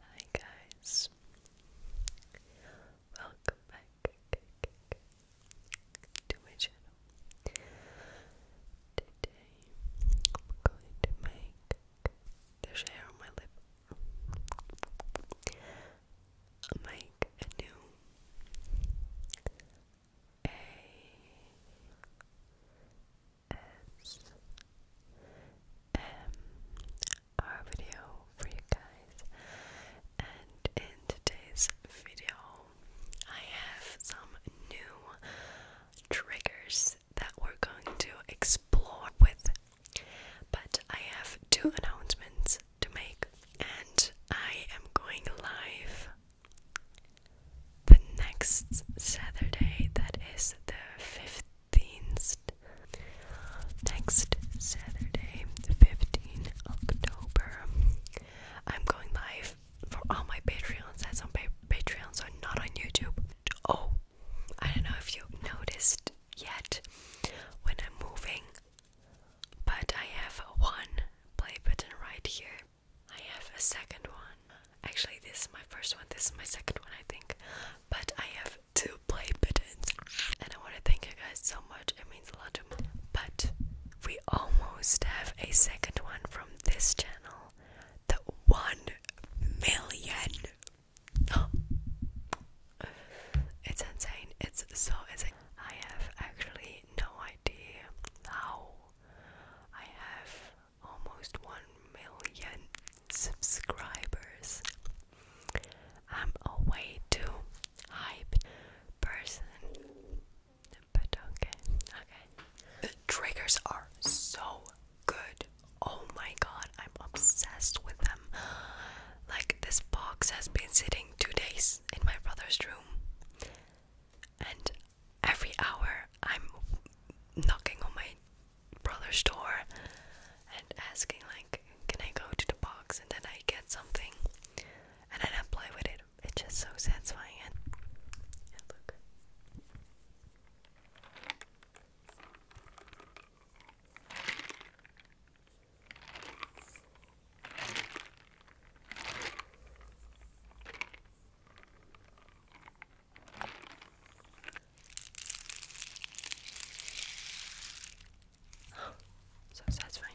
Hi guys. Welcome back to my channel. Today I'm going to make there's hair on my lip. make a new a is video for you guys. And in today's video, I have some new triggers that we're going to explore with. But I have two announcements to make, and I am going live the next Saturday, that is the 5th Next Saturday, 15 October, I'm going live for all my Patreons. That's on pa Patreon, so not on YouTube. Oh, I don't know if you noticed yet when I'm moving, but I have one play button right here. I have a second one. Actually, this is my first one. This is my second one, I think. But I have two play buttons, and I want to thank you guys so much. It means a lot to me. But we almost have a second one from this channel. The one million. It's insane. It's so Is it? I have actually no idea how I have almost 1 million subscribers. I'm a way too hype person. But okay, okay. The triggers are so good. Oh my god, I'm obsessed with them. Like, this box has been sitting two days in my brother's room, and every hour I'm knocking on my brother's door and asking like, can I go to the box and then I get something and then I play with it. It's just so satisfying look so satisfying.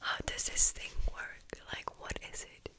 How does this thing work? Like, what is it?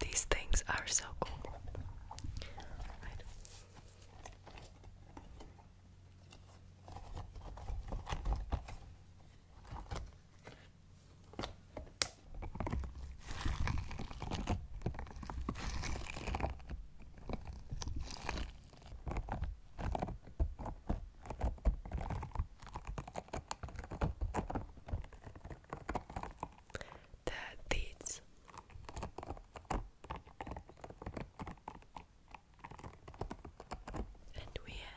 These things are so cool. The deeds. And we have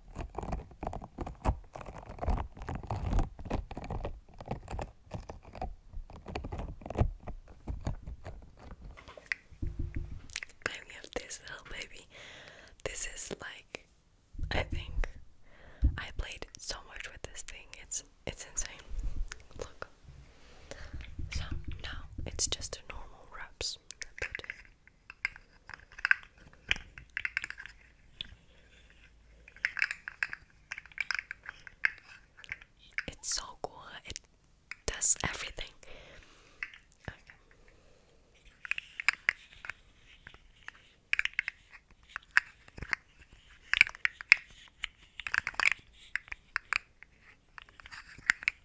But have this little baby. This is like I think I played so much with this thing. It's it's insane. Look. So now it's just normal wraps. It's so cool. It does everything.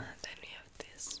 And then we have this.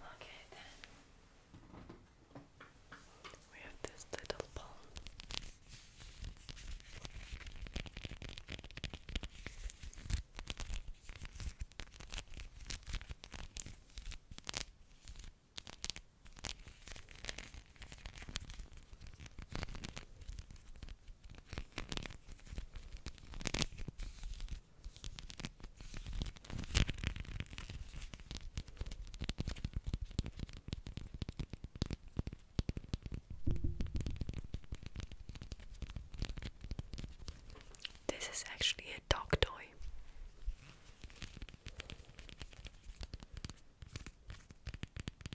Okay, then we have this little ball. This is actually a dog toy.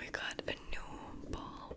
We got a new ball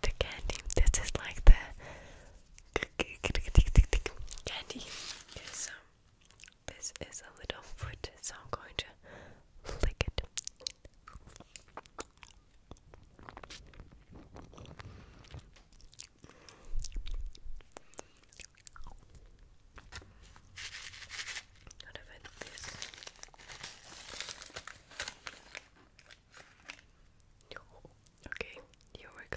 The candy, this is like the candy. Um, this is a little foot, so I'm going to flick it. What if Okay, here we go.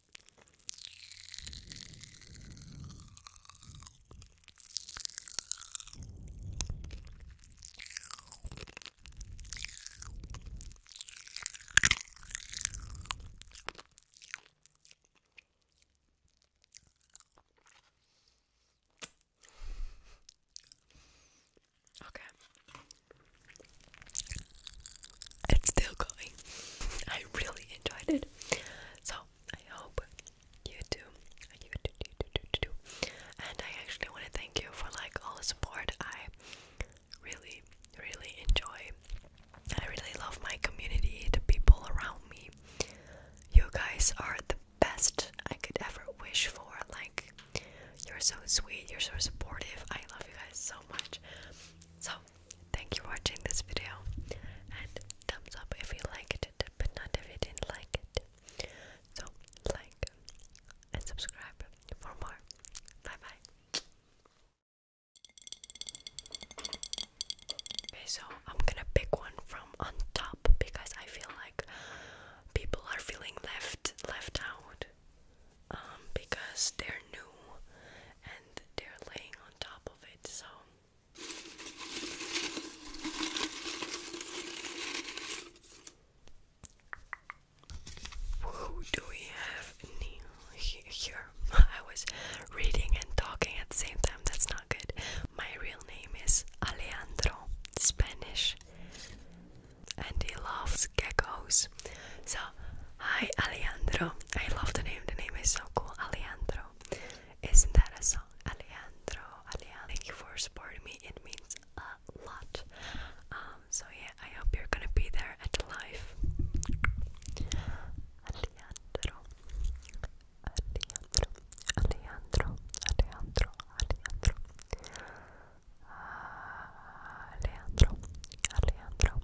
Okay. It's still going. I really enjoyed it. So I hope you do, And I actually want to thank you for like all the support. I really, really enjoy. I really love my community, the people around me. You guys are the best I could ever wish for. Like, you're so sweet, you're so supportive. I love you guys so much. So, Thank you for watching this video and thumbs up if you liked it, but not if you didn't like it. So, like and subscribe for more. Bye bye. Okay, so I'm gonna pick one from on top because I feel like people are feeling left left out um, because they're new and they're laying who do we have here? I was reading and talking at the same time, that's not good. My real name is Alejandro, Spanish, and he loves geckos. So Hi Alejandro. I love the name. The name is so cool. Alejandro. Isn't that a song? Alejandro. Alejandro. Thank you for supporting me. It means a lot. Um, so yeah, I hope you're gonna be there at the live. Alejandro. Alejandro. Alejandro. Alejandro. Alejandro. Ah, Alejandro. Alejandro.